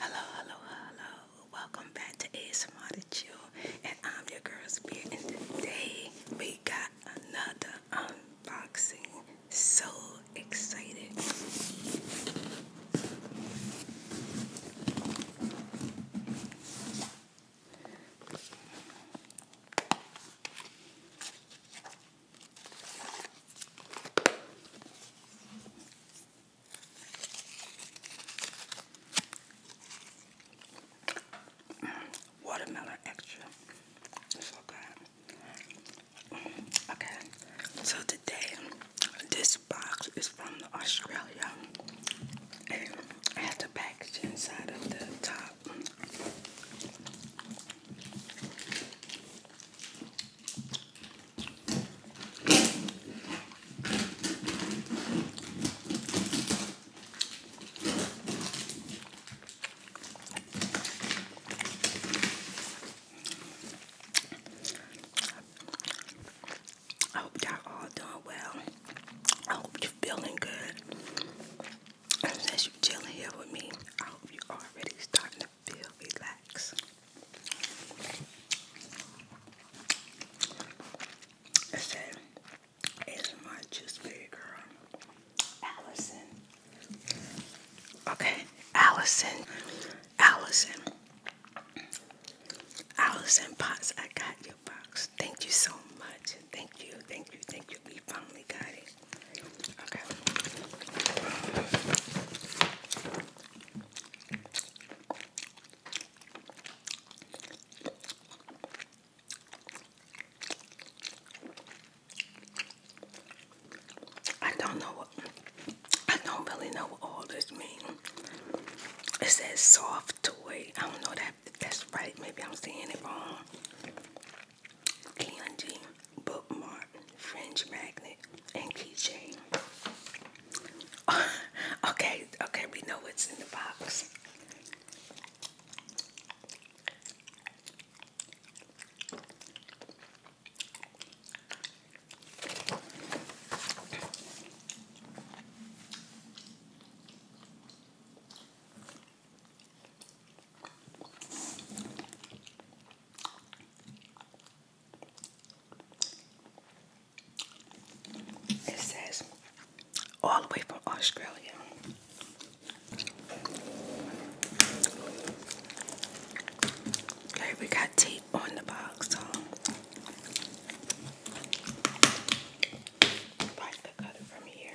Hello, hello, hello. Welcome back to ASMR to Chill. And I'm your girl Spear. And today we got another unboxing. So excited. Watermelon extra. So good. Okay, so today this box is from Australia. I have the package inside of the top. I hope y'all all doing well. I hope you're feeling good. And since you're chilling here with me, I hope you're already starting to feel relaxed. It said, it's my juice girl, Allison. Okay, Allison, Allison, Allison Potts, I got your box. Thank you so much. Thank you, thank you, thank you. We finally got it. I don't know I don't really know what all this means. It says soft toy. I don't know that that's right. Maybe I'm seeing it wrong candy, bookmark, fringe magnet, and keychain. okay, okay, we know what's in the box. It says all the way from Australia. Okay, we got tape on the box, so cut it from here.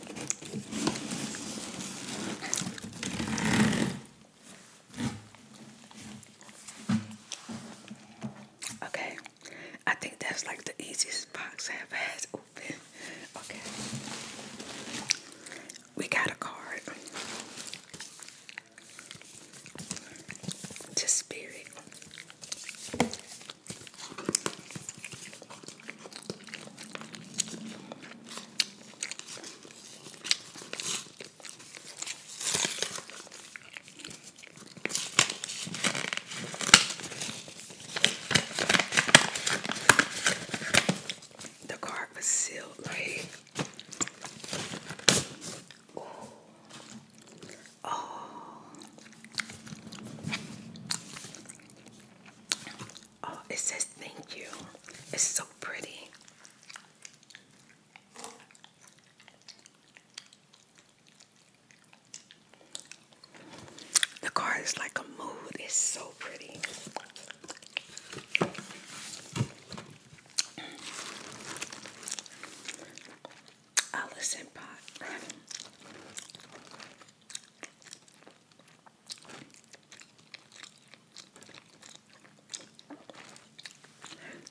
Okay, I think that's like the easiest box I've had open. Okay, we got a card to Spirit. The card was sealed like Ooh. oh Oh, it says thank you. It's so pretty. The card is like a mood. It's so pretty. Alice in Pot.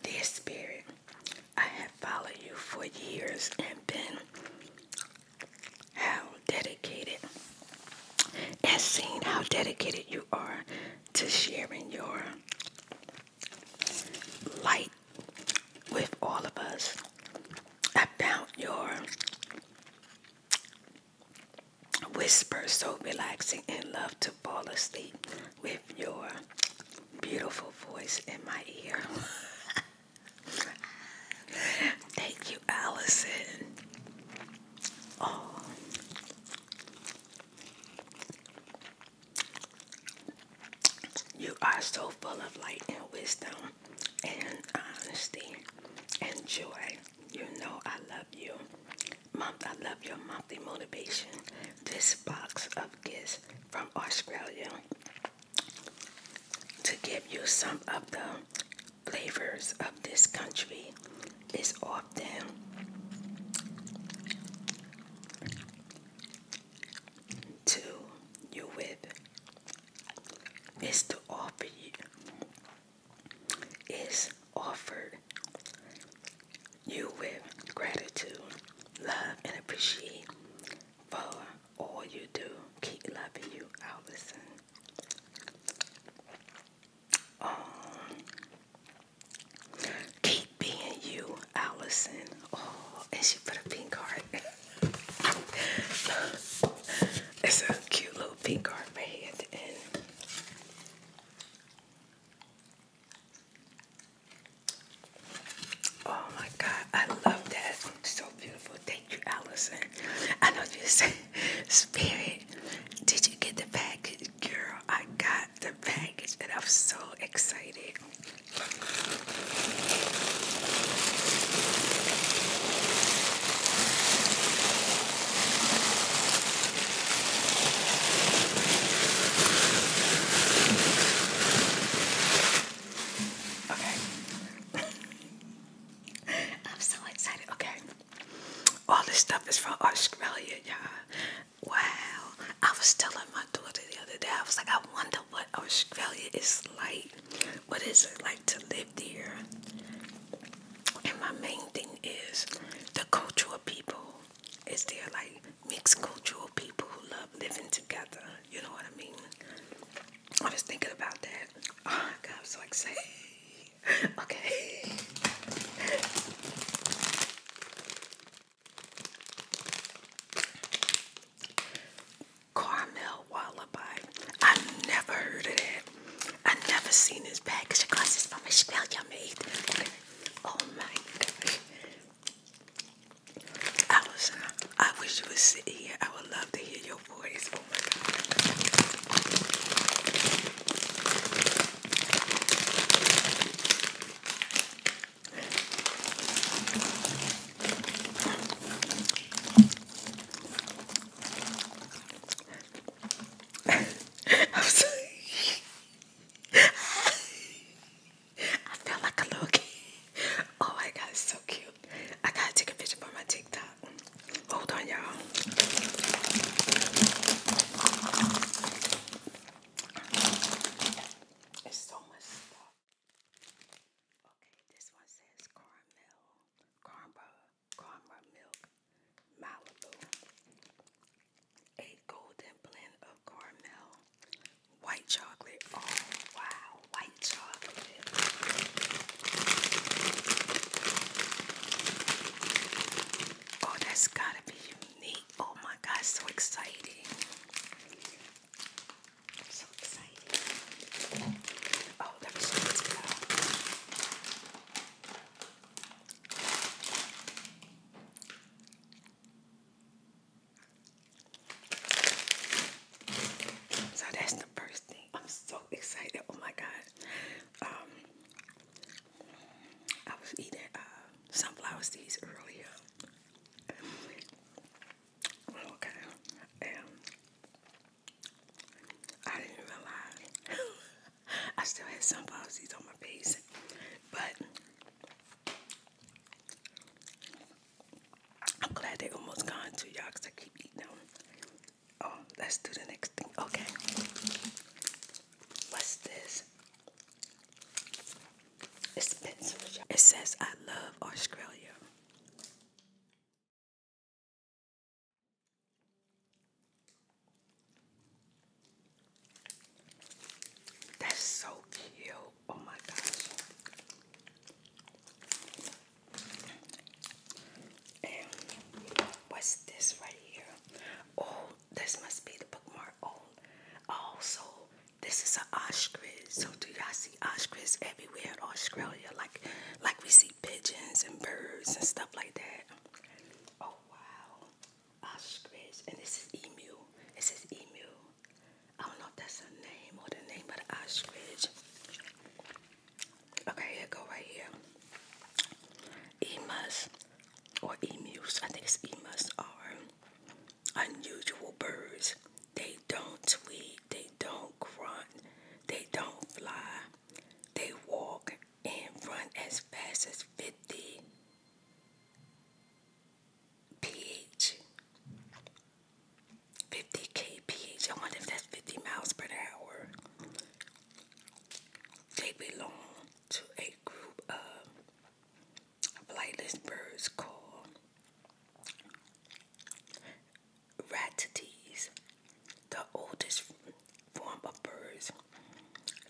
This Spirit, I have followed you for years and been how dedicated and seen how dedicated you are to sharing your light with all of us. about your whisper so relaxing and love to fall asleep with your beautiful voice in my ear. Thank you, Allison. Oh. You are so full of light and wisdom and honesty and joy. You know I love you. Mom, I love your monthly motivation. This box of gifts from Australia to give you some of the flavors of this country is often to you with is to offer you is offered you with gratitude, love, and appreciate for all you do. Keep loving you, Allison. Um, keep being you, Allison. Oh, and she put a pink heart. it's a cute little Oh my God, I love that. So beautiful. Thank you, Allison. I know you said, Spirit, did you get the package? Girl, I got the package and I'm so excited. Okay. I'm so excited. Okay. All this stuff is from Australia, y'all. Wow. I was telling my daughter the other day, I was like, I wonder what Australia is like. What is it like to live there? And my main thing is the cultural people. Is they're like mixed cultural people who love living together? You know what I mean? I was thinking about that. Oh my God, I'm so excited. okay. Carmel Wallaby. I never heard of that. I have never seen this bag because your glasses from Australia made. Oh my gosh. I was I wish you would sit here. I would love to hear your voice. Oh my god. I'm sorry. feel like a little kid. Oh my god, so cute. I gotta take a picture for my TikTok. Hold on, y'all. It's so much stuff. Okay, this one says caramel, caramel, Karma Milk Malibu, a golden blend of caramel, white chocolate. Oh wow, white chocolate. Oh, that's gotta be unique. Oh my god, so exciting! so excited. Oh, that was so so that's the first thing. I'm so excited. Oh my god. Um I was eating uh, sunflower seeds earlier. Oh, okay. I didn't realize I still had some policies on my face, but I'm glad they almost gone to y'all, because I keep eating them. Oh, let's do the next thing. Okay. What's this? It says, I love Australia. That's so cute. Oh my gosh. And what's this right here? Oh, this must be the bookmark. Oh, also, oh, this is an ostrich. So do y'all see ostriches everywhere in Australia? Like, like we see pigeons and birds and stuff like that. Oh wow, ostrich, and this is emu. This is emu. I don't know if that's a name or the name of the ostrich. Okay, here go right here. Emus or emus, I think it's emus are unusual birds. They don't tweet, they they don't grunt. They don't fly. They walk and run as fast as 50 ph. 50 kph. I wonder if that's 50 miles per hour. They belong to a group of flightless birds called ratites, the oldest form of birds.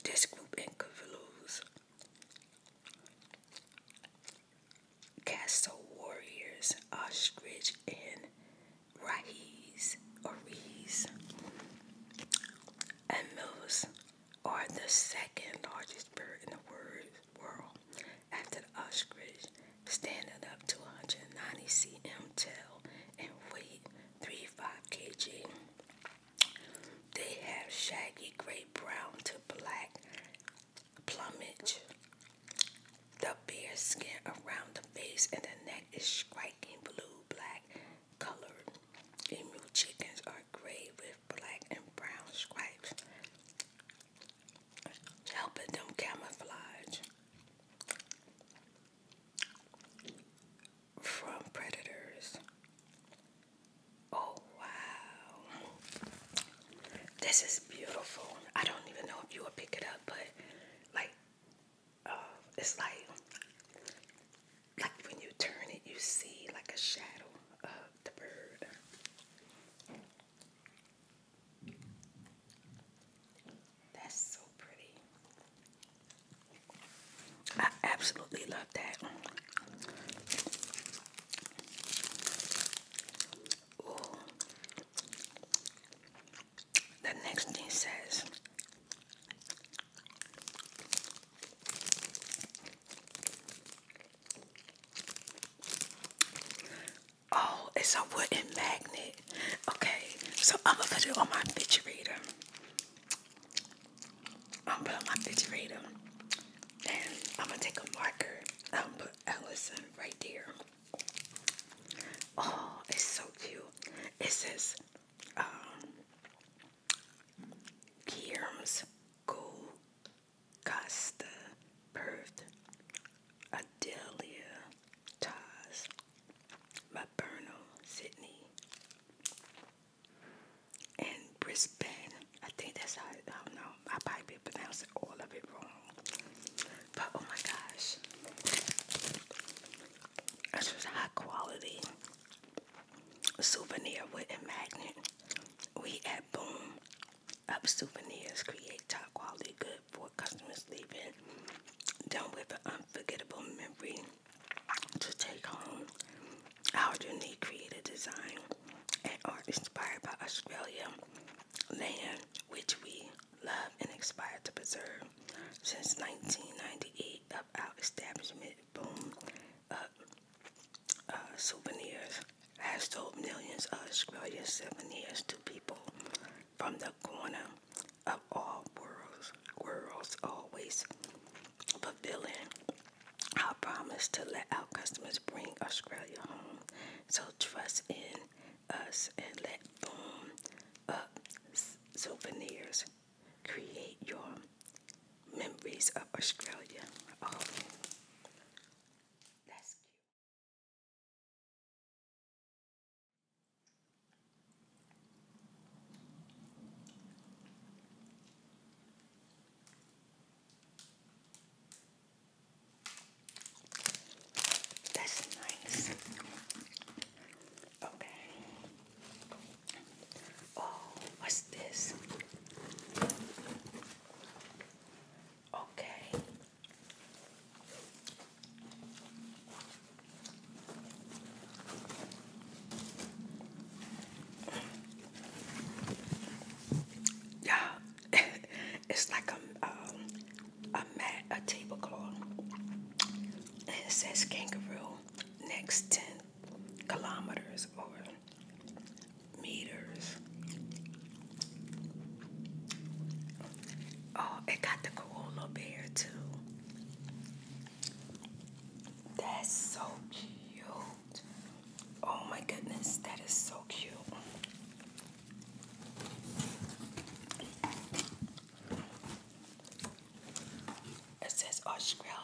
This group includes castle warriors, ostrich, and rahis or And mills are the second largest bird in the world after the ostrich standing up to 190 cm tall and weigh 35 kg. They have shaggy gray brown to black plumage. The bare skin around the face and the neck is striking blue black colored. Emu chickens are gray with black and brown stripes, helping them camouflage from predators. Oh, wow. This is beautiful. I don't even know if you will pick it up, but like, uh, it's like, like when you turn it, you see like a shadow of the bird. That's so pretty. I absolutely love that. Ooh. The next thing says Oh, it's a wooden magnet. Okay, so I'm gonna put it on my picture reader. I'm going my picture And I'm gonna take a marker. I'm gonna put Allison right there. Oh, it's so cute. It says um Gearms Gold Costa Adelia Taz Laburnum, Sydney, and Brisbane. I think that's how, I don't know, I probably pronounced all of it wrong. But oh my gosh, this was high quality souvenir wooden magnet. We at Boom Up Souvenirs create top quality good for customers leaving done with an unforgettable memory to take home. Our unique creative design and art inspired by Australia land, which we love and aspire to preserve. Since 1998, of our establishment, Boom of uh, uh, Souvenirs has told millions of Australian souvenirs to people from the corner of all worlds, worlds always fulfilling our promise to let our customers bring Australia home. So trust in us and let Boom Up Souvenirs create your memories of Australia. Oh, that's cute. That's nice. Okay. Oh, what's this? Okay, yeah, it's like a um, a mat, a tablecloth, and it says kangaroo next ten kilometers or meters. Oh, it got the koala bear too. That's so cute. Oh my goodness, that is so cute. It says Australia.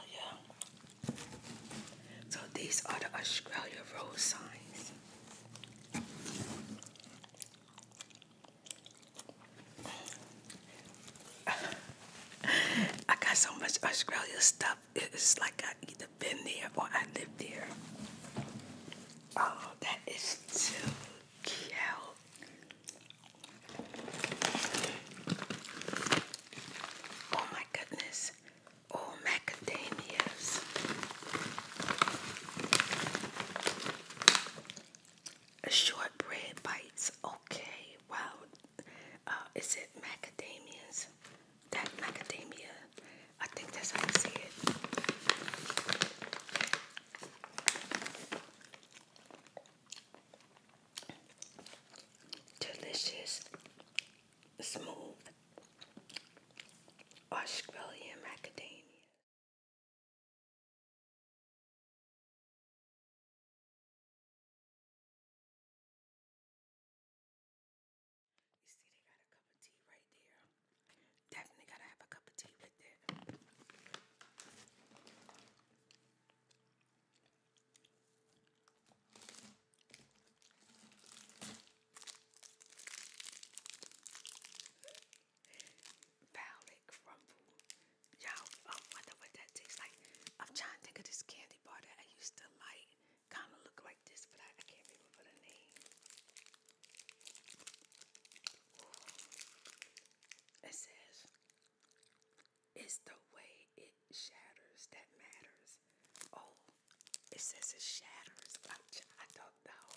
So these are the Australia road signs. I got so much Australia stuff. It's like I either been there or I live there. Oh, that is too cute. Oh my goodness. Oh, macadamias. A Shortbread bites. Okay. Wow. Uh, is it macadamias? That macadamia. I think that's how I see it. Delicious, smooth Australian macadamia. You see, they got a cup of tea right there. Definitely gotta have a cup of tea with it. Palette crumble. Y'all, um, I wonder what that tastes like. I'm trying to think of this candy bar that I used to like. Kind of look like this, but I, can't remember the name. It says, it's the way it shatters that matters. Oh, it says it shatters. I don't know.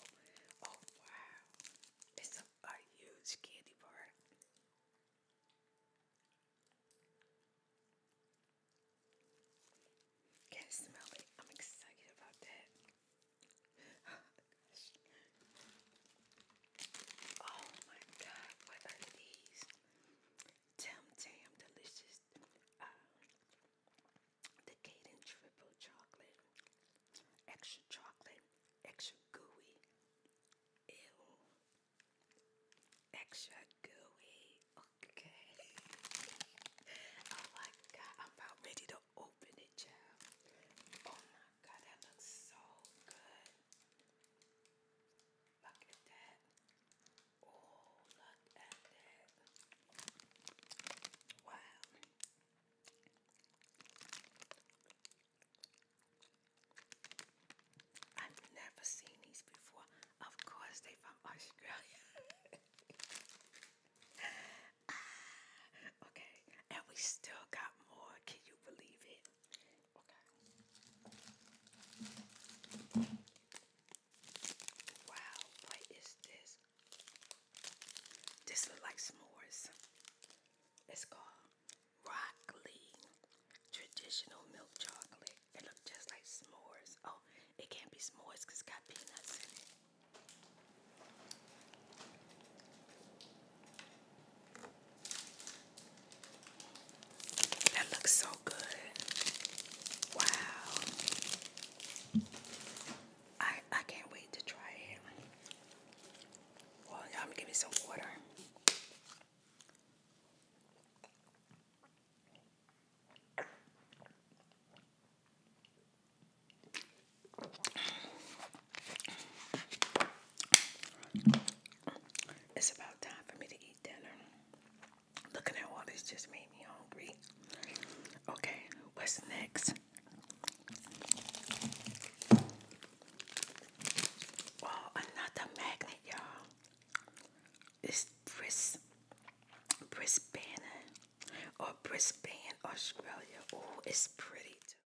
Oh, wow. It's a a huge candy bar. Can't smell it. I'm excited about that. Oh, oh, my god, what are these? Tim Tam Delicious uh, Triple Chocolate extra chocolate, extra gooey. Ew. Extra gooey. Okay. oh my god, I'm about ready to open it, child. Oh my god, that looks so good. Look at that. Oh, look at that. Wow. I've never seen these before. Of course, they're from Australia. Ah, okay, and we still got more. Can you believe it? Okay. Wow, what is this? This look like s'mores. It's called Rockley Traditional Milk Chocolate. It look just like s'mores. Oh, it can't be s'mores because it's got peanuts in it. That looks so good. Wow. I I can't wait to try it. Well, y'all give me some water. It's about time for me to eat dinner. Looking at all this just made me hungry. Okay, what's next? Oh, another magnet, y'all. It's Bris Brisbane or Brisbane, Australia. Oh, it's pretty too.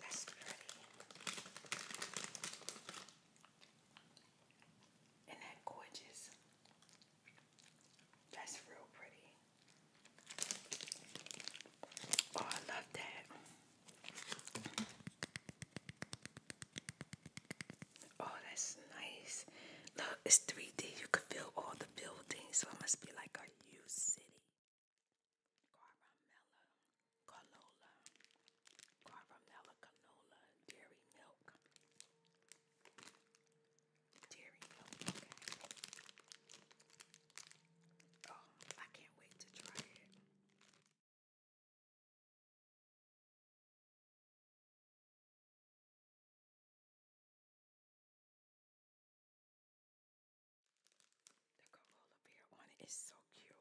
That's pretty. Isn't that gorgeous? That's real pretty. Oh, I love that. Oh, that's nice. Look, it's 3D. You could feel all the buildings, so it must be like a U city. Caramella, canola, caramella, canola, dairy milk dairy milk. Okay. Oh, I can't wait to try it. The Corolla beer on it is so cute.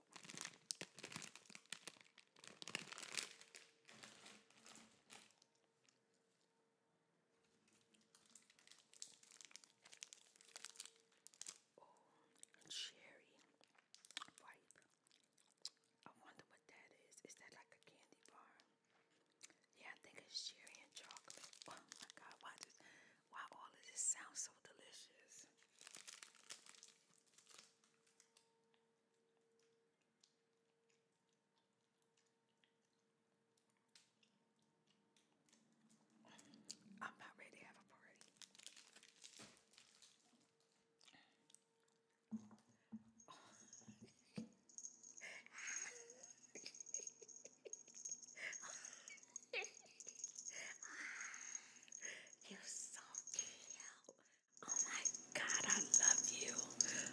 Oh, cherry ripe. I wonder what that is. Is that like a candy bar? Yeah, I think it's cherry and chocolate. Oh my god, why does why all of this sounds so delicious? I'm about ready to have a party. You're so cute. Oh my god, I love you.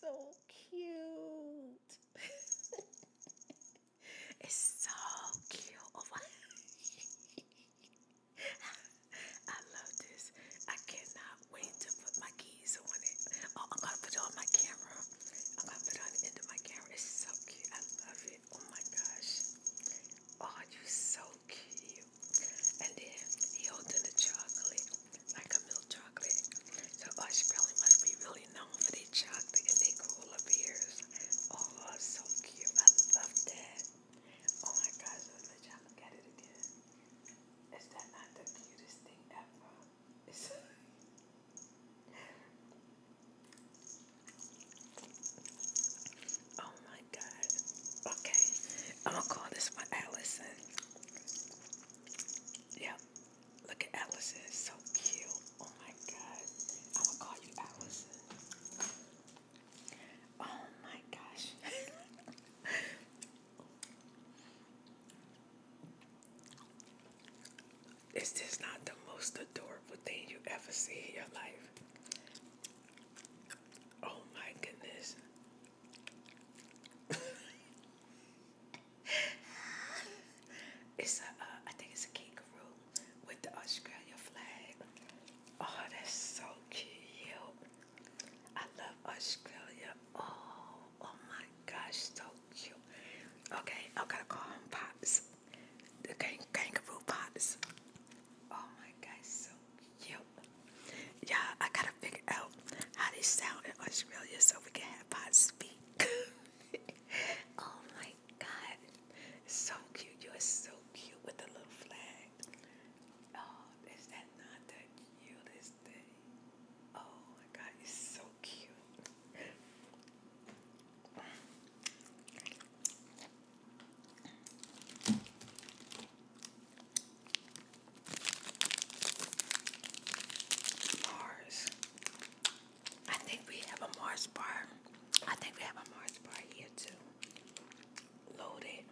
so cute. You're so cute. it's so cute. Oh my. I love this. I cannot wait to put my keys on it. Oh, I'm going to put it on my camera. I'm going to put it on the end of my camera. It's so cute. Oh my gosh. Oh, you so cute. And then he holding the chocolate, like a milk chocolate. So Osh oh, probably must be really known for their chocolate and their cooler beers. Oh, so cute. I love that. Oh my gosh, let y'all look at it again. Is that not the cutest thing ever? Oh my God. Okay. I'm going to call this one Allison. Yep. Look at Allison. It's so cute. Oh my God. I'm going to call you Allison. Oh my gosh. Is this not the most adorable thing you ever see in your life? Oh my goodness. it's a, uh, think it's a kangaroo with the Australia flag. Oh, that's so cute. I love Australia. Oh, oh my gosh, so cute. Okay, I'm gonna call Pops the kangaroo pots. Oh my god, so cute. Yeah, I gotta figure out how they sound in Australia so we can have pots speak. oh my god. So cute. You are so cute with the little flag. Oh, is that not the cutest thing? Oh my god, it's so cute. Mars. I think we have a Mars bar. I think we have a Mars bar here too. Loaded.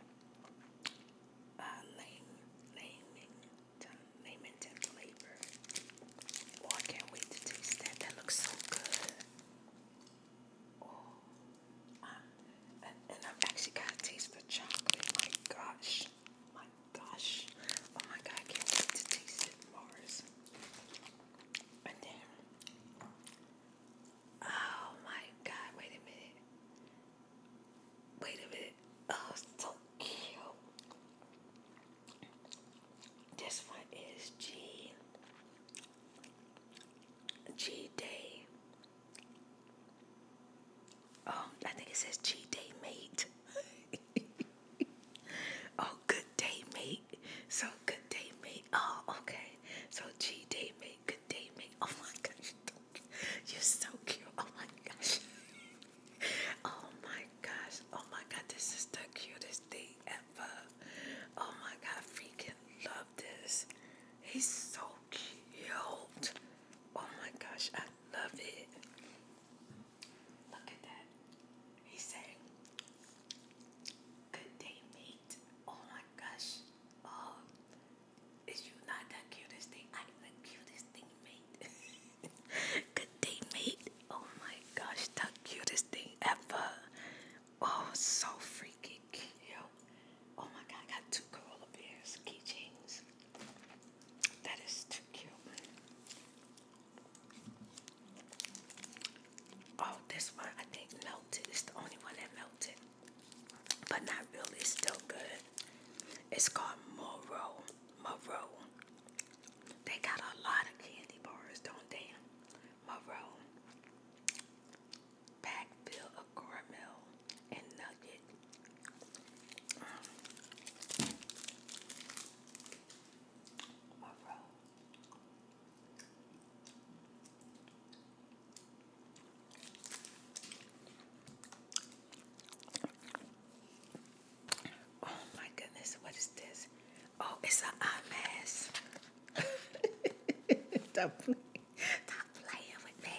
Uh, lame, Lamington, Lamington flavor. Oh, I can't wait to taste that. That looks so good. Oh, and, I've actually got a taste for chocolate. My gosh, my gosh, oh my god, can't wait to taste it, Mars. And oh my god, wait a minute. Wait a minute. Oh, so cute. This one is G G Day. Oh, I think it says G Day Mate. oh, good day, mate. So, good day, mate. Oh, okay. So, G Day Mate, good day, mate. Oh my gosh, you're so cute. Oh my gosh. oh my gosh. Oh my god, this is the cutest thing ever. Oh my god, freaking love this. He's so cute. Oh my gosh, I love it. Look at that. He said, Good day, mate. Oh my gosh. Oh, is you not the cutest thing? I'm the cutest thing, mate. Good day, mate. Oh my gosh, the cutest thing ever. Oh, so freaking cute. Oh my god, I got two koala bears keychains. That is too cute. Oh, this one I think melted. It's the only one that melted. But not really, still good. It's called Moro. Moro. They got a lot of candy bars, don't they? maroon, pack filled of caramel and nugget. Um, maroon. Oh my goodness, what is this? Oh, it's an ice mass. Stop playing. with me.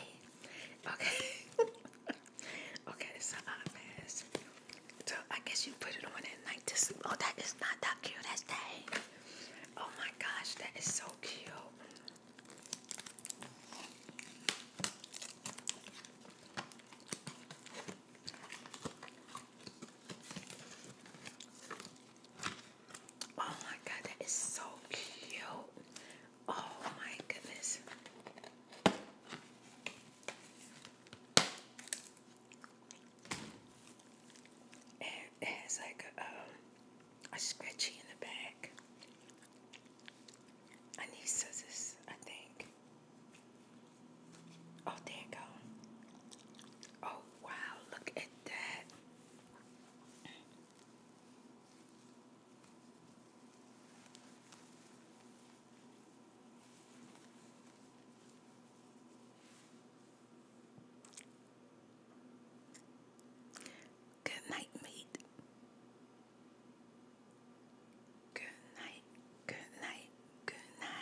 Okay. okay, it's an eye mask. So I guess you put it on at night to sleep. Oh, that is not that cute. That's Oh my gosh, that is so cute. Oh my god, that is so cute. Oh my goodness. it has like a, um, a scratchy in the back. I I think. Oh, there you Oh, Wow, look at that. Good night, mate. Good night, good night, good night.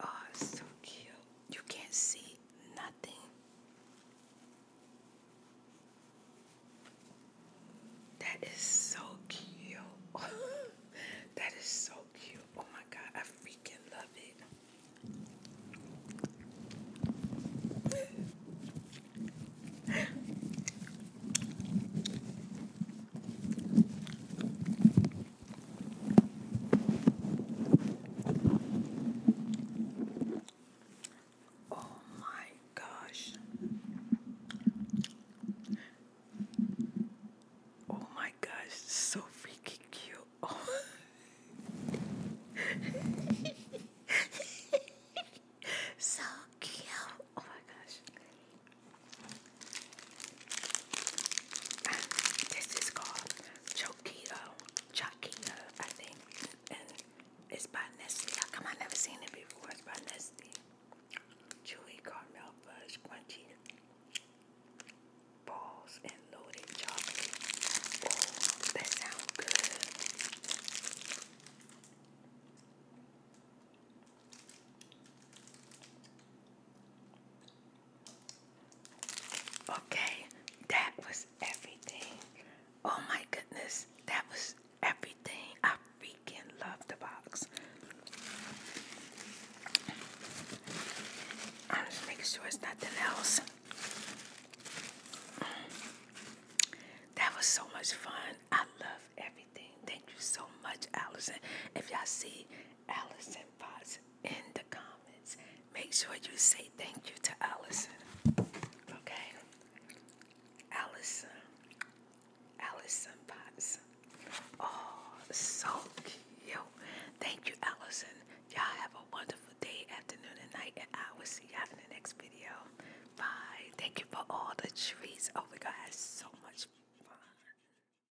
Oh, so cute. You can't see nothing. That is so cute. that is so cute. Oh my god, I freaking love it. Oh my gosh. Oh my gosh, so freaking cute. so cute. Oh my gosh. This is called Chokito, Chokito, I think, and it's by Nestle. How come I never seen it before? It's by Nestle. Chewy caramel fudge, crunchy balls, and loaded chocolate. Oh, that sounds good. Okay, that was everything. Oh my goodness, that was everything. I freaking love the box. I'm just making sure it's nothing else. That was so much fun. I love everything. Thank you so much, Allison. If y'all see Allison Potts, in the comments. Make sure you say thank you to Allison. Okay? Allison. Allison Potts. Oh, so cute. Thank you, Allison. Y'all have a wonderful day, afternoon, night, and I will see y'all in the next video. Bye. Thank you for all the treats. Oh, my God, so much fun.